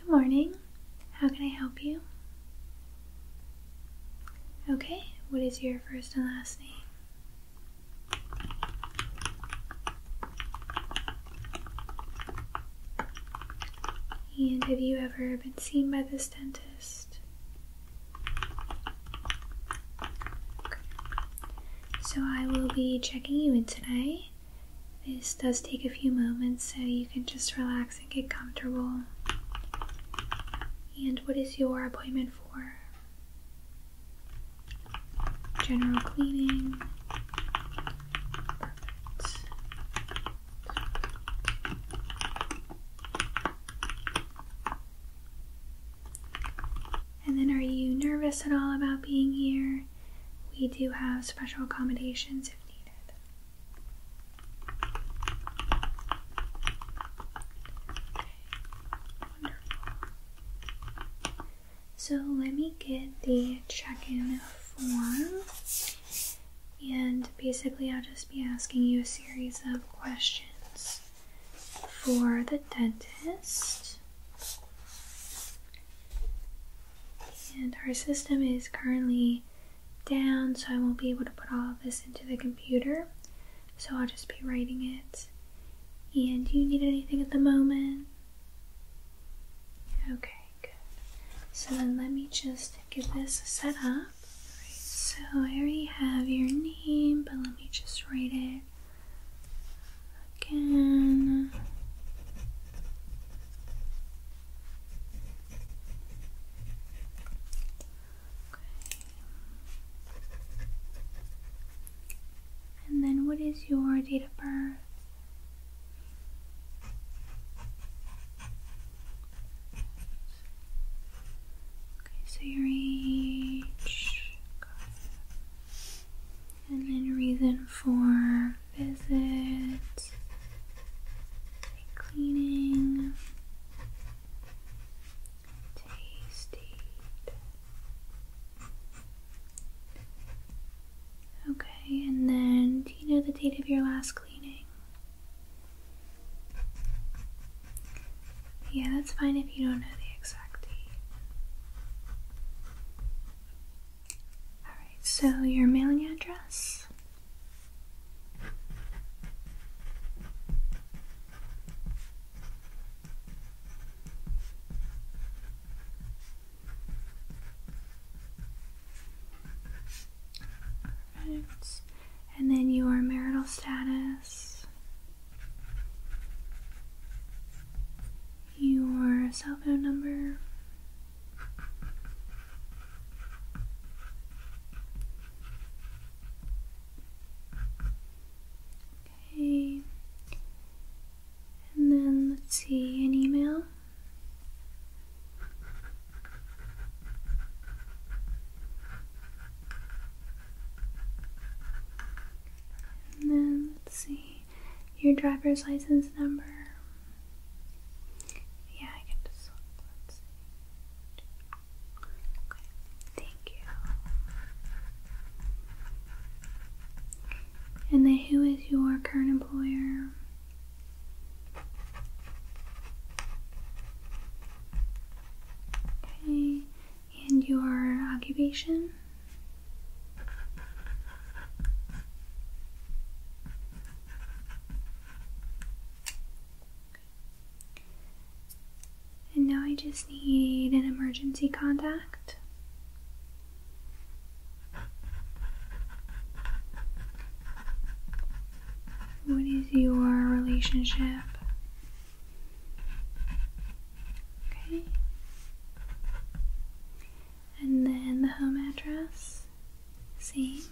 Good morning. How can I help you? Okay, what is your first and last name? And have you ever been seen by this dentist? So I will be checking you in today. This does take a few moments, so you can just relax and get comfortable. And what is your appointment for? General cleaning. Perfect. And then, are you nervous at all about being here? We do have special accommodations if needed. So, let me get the check in form. And basically, I'll just be asking you a series of questions for the dentist. And our system is currently down, so I won't be able to put all of this into the computer. So I'll just be writing it. And do you need anything at the moment? Okay, good. So then let me just Give this a setup. so here already have your name, but let me just write it again. Okay. And then what is your date of birth? Okay, so your age, and then reason for visit, cleaning, tasty. Okay, and then do you know the date of your last cleaning? Yeah, that's fine if you don't know the exact date. Alright, so your mailing address? And then your marital status, your cell phone number. Okay. And then let's see an email. And then let's see your driver's license number. Yeah, I can just look. Let's see. Okay, thank you. And then who is your current employer? Okay, and your occupation? And now I just need an emergency contact. What is your relationship Okay. And then the home address. See?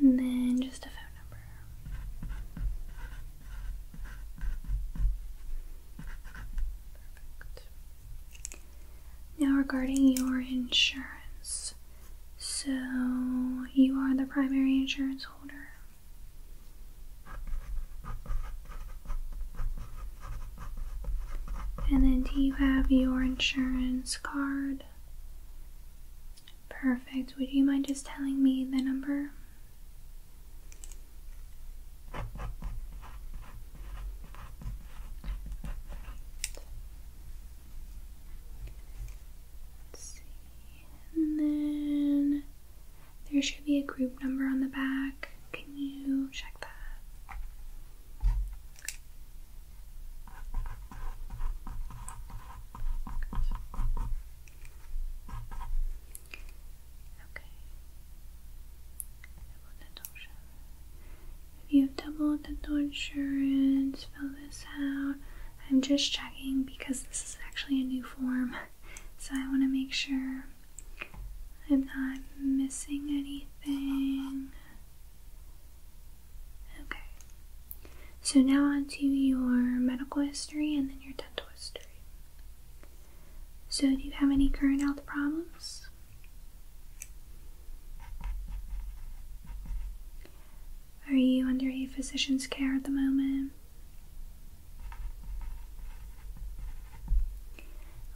And then just a phone number. Perfect. Now, regarding your insurance, so you are the primary insurance holder. And then, do you have your insurance card? Perfect. Would you mind just telling me the number? And then there should be a group number on the back. Can you check that? Okay. If you've doubled dental insurance, fill this out. I'm just checking because this is actually a new form, so I want to make sure I'm not missing anything. Okay. So now on to your medical history and then your dental history. So do you have any current health problems? Are you under a physician's care at the moment?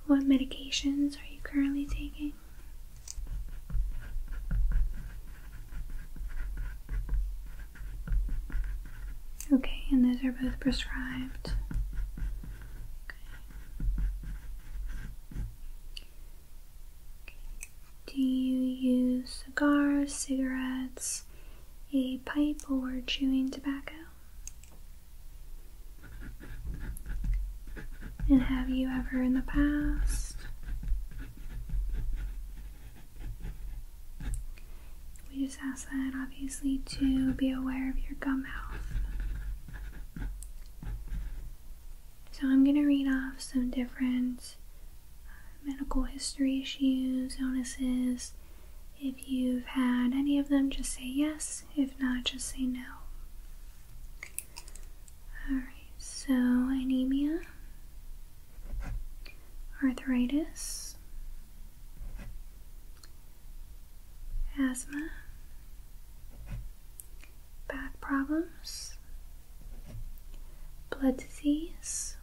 What medications are you currently taking? Okay, and those are both prescribed. Do you use cigars, cigarettes, a pipe, or chewing tobacco? And have you ever in the past? We just ask that obviously to be aware of your gum health. So, I'm going to read off some different uh, medical history issues, illnesses. If you've had any of them, just say yes. If not, just say no. Alright, so anemia, arthritis, asthma, back problems, blood disease,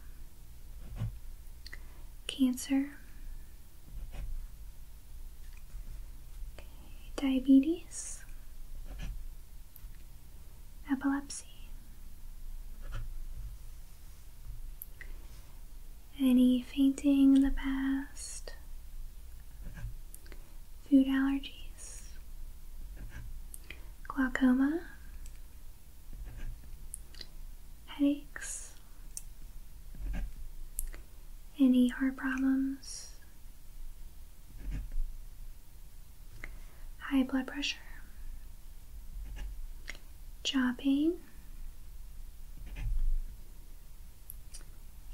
cancer, diabetes, epilepsy, any fainting in the past food allergies, glaucoma, headaches, any heart problems, high blood pressure, jaw pain,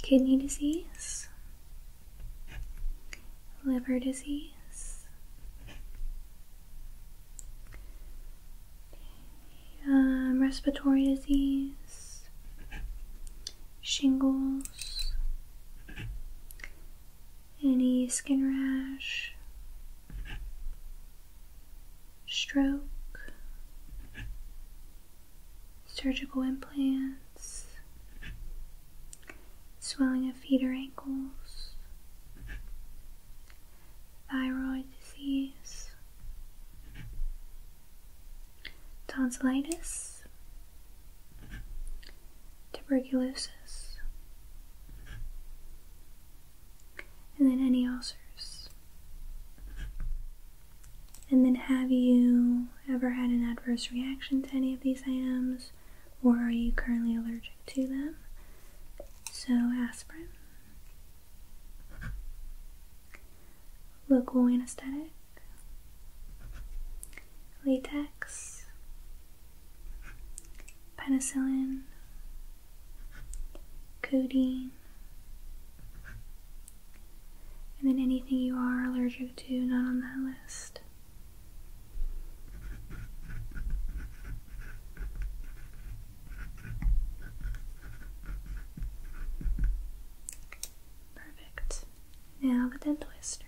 kidney disease, liver disease, um, respiratory disease, shingles, any skin rash, stroke, surgical implant swelling of feet or ankles, thyroid disease, tonsillitis, tuberculosis, and then any ulcers. And then, have you ever had an adverse reaction to any of these items, or are you currently allergic to them? So, aspirin, local anesthetic, latex, penicillin, codeine, and then anything you are allergic to, not on that list. Perfect. Now the dental history.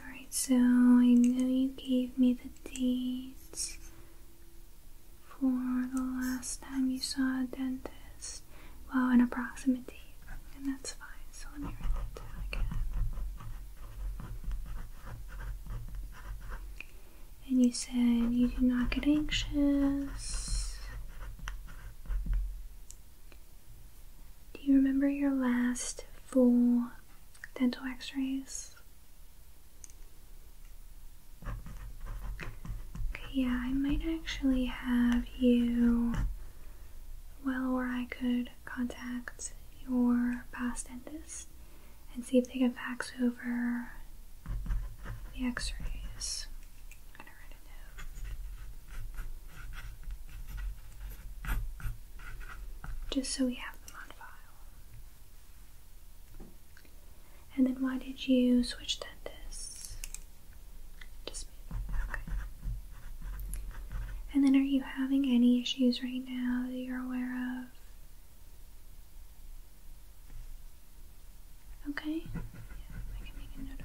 Alright, so I know you gave me the dates for the last time you saw a dentist well, an approximate date, and that's fine. So let me write that down again. And you said you do not get anxious. Do you remember your last full dental x rays? yeah, I might actually have you well or I could contact your past dentist and see if they can fax over the x-rays. Just so we have them on file. And then why did you switch dentists? Just okay. And then are you having any issues right now that you're aware of? Okay, yeah, I can make a note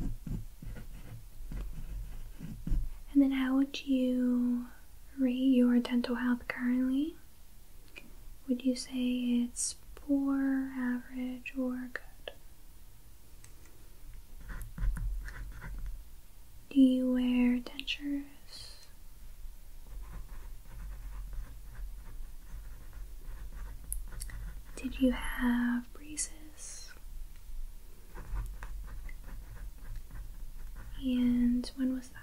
of that. And then, how would you rate your dental health currently? Would you say it's poor, average, or good? Do you wear dentures? Did you have braces? And when was that?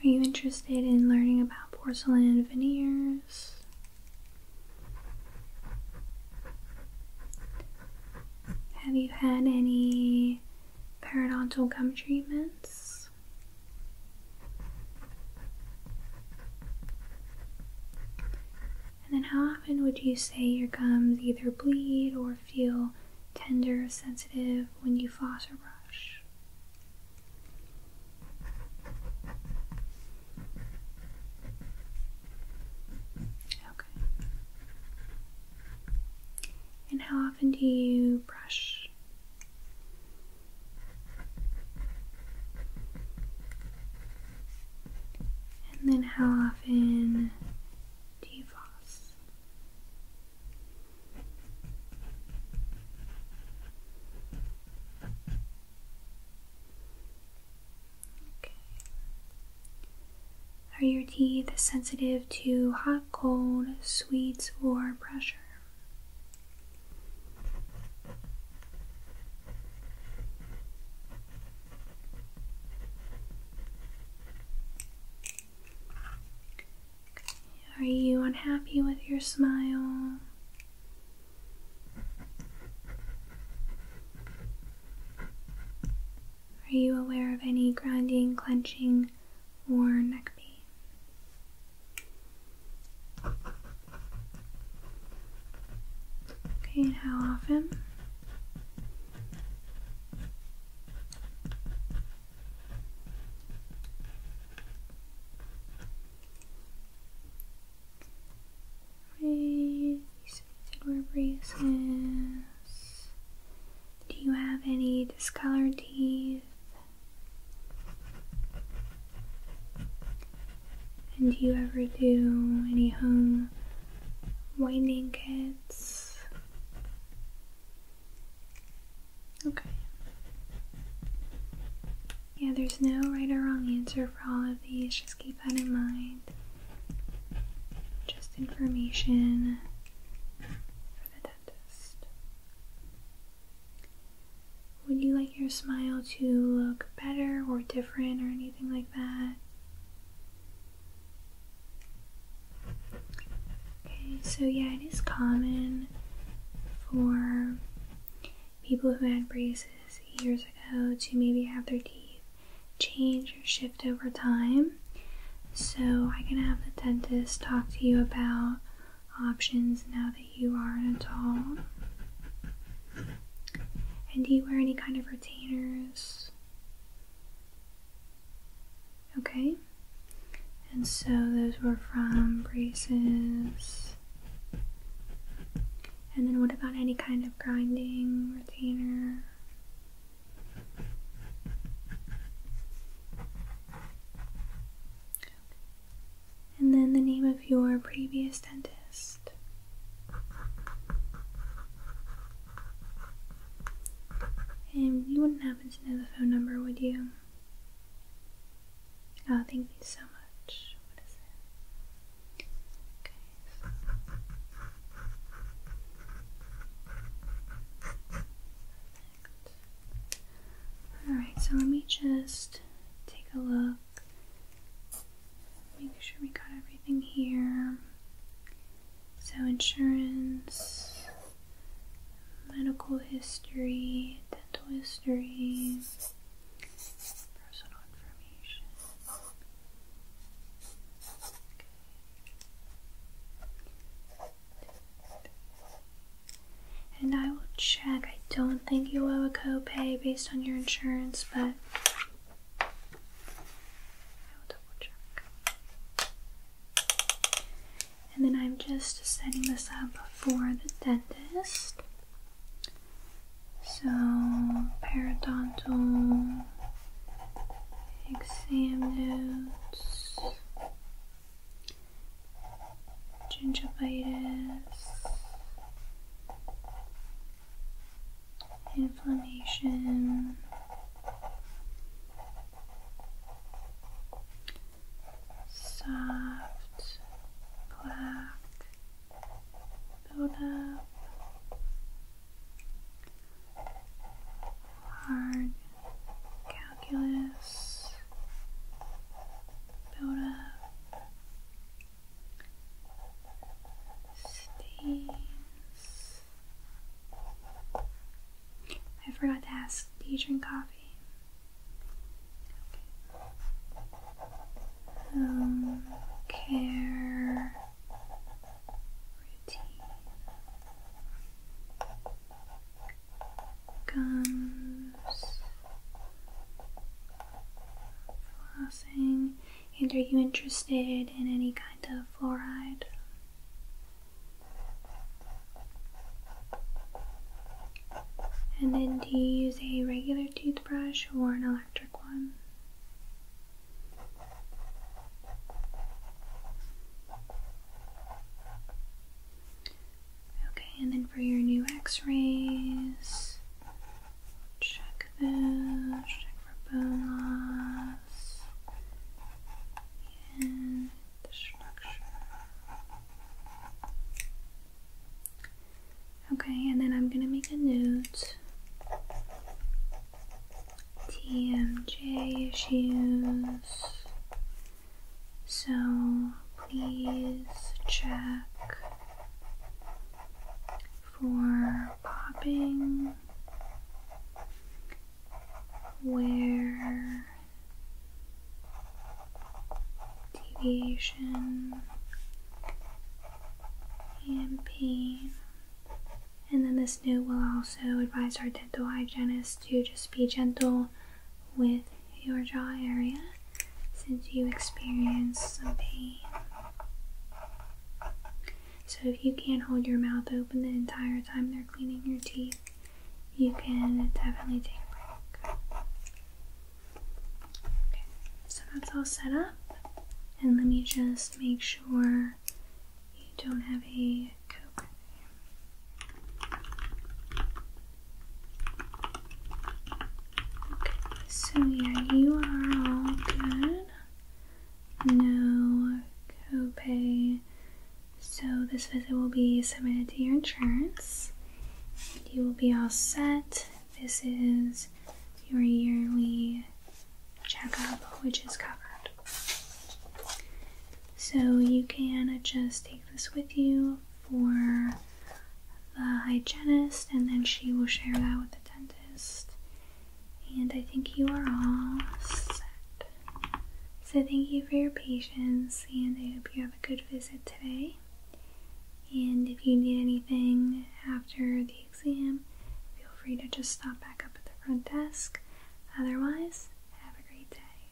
Are you interested in learning about porcelain veneers? Have you had any periodontal gum treatments? And then how often would you say your gums either bleed or feel tender or sensitive when you floss or brush? Okay. And how often do you brush? And then how often do you floss? Okay. Are your teeth sensitive to hot, cold, sweets, or pressure? Are you unhappy with your smile? Are you aware of any grinding, clenching, or neck pain? Okay, how often? Braces, Do you have any discolored teeth? And do you ever do any home winding kits? Okay. Yeah, there's no right or wrong answer for all of these. Just keep that in mind. Just information for the dentist. Would you like your smile to look better or different or anything? like that. Okay, so yeah, it is common for people who had braces years ago to maybe have their teeth change or shift over time. So I can have the dentist talk to you about options now that you are an adult. And do you wear any kind of retainers? Okay. And so those were from braces. And then what about any kind of grinding retainer? And then the name of your previous dentist. And you wouldn't happen to know the phone number, would you? Oh, thank you so much. Okay. Alright, so let me just take a look Make sure we got everything here. So, insurance, medical history, dental history, And I will check. I don't think you owe a copay based on your insurance, but and then I'm just setting this up for the dentist. So, periodontal exam notes, gingivitis, inflammation, soft plaque buildup, hard calculus buildup. Stains. I forgot to ask, do you drink coffee? Um, care routine. Gums. Flossing. And are you interested in any kind of fluoride? And then do you use a regular toothbrush or an electric one? Okay, and then for your new x rays, Check this, check for bone loss and destruction. Okay, and then I'm gonna make a note. TMJ issues. So please check for popping, where deviation and pain. And then this note will also advise our dental hygienist to just be gentle with your jaw area since you experience some pain. So if you can't hold your mouth open the entire time they're cleaning your teeth, you can definitely take a break. Okay, so that's all set up. And let me just make sure you don't have a coke. Okay, so yeah, you are all good no copay. So this visit will be submitted to your insurance. You will be all set. This is your yearly checkup, which is covered. So you can just take this with you for the hygienist, and then she will share that with the dentist. And I think you are all set. So, thank you for your patience, and I hope you have a good visit today. And if you need anything after the exam, feel free to just stop back up at the front desk. Otherwise, have a great day.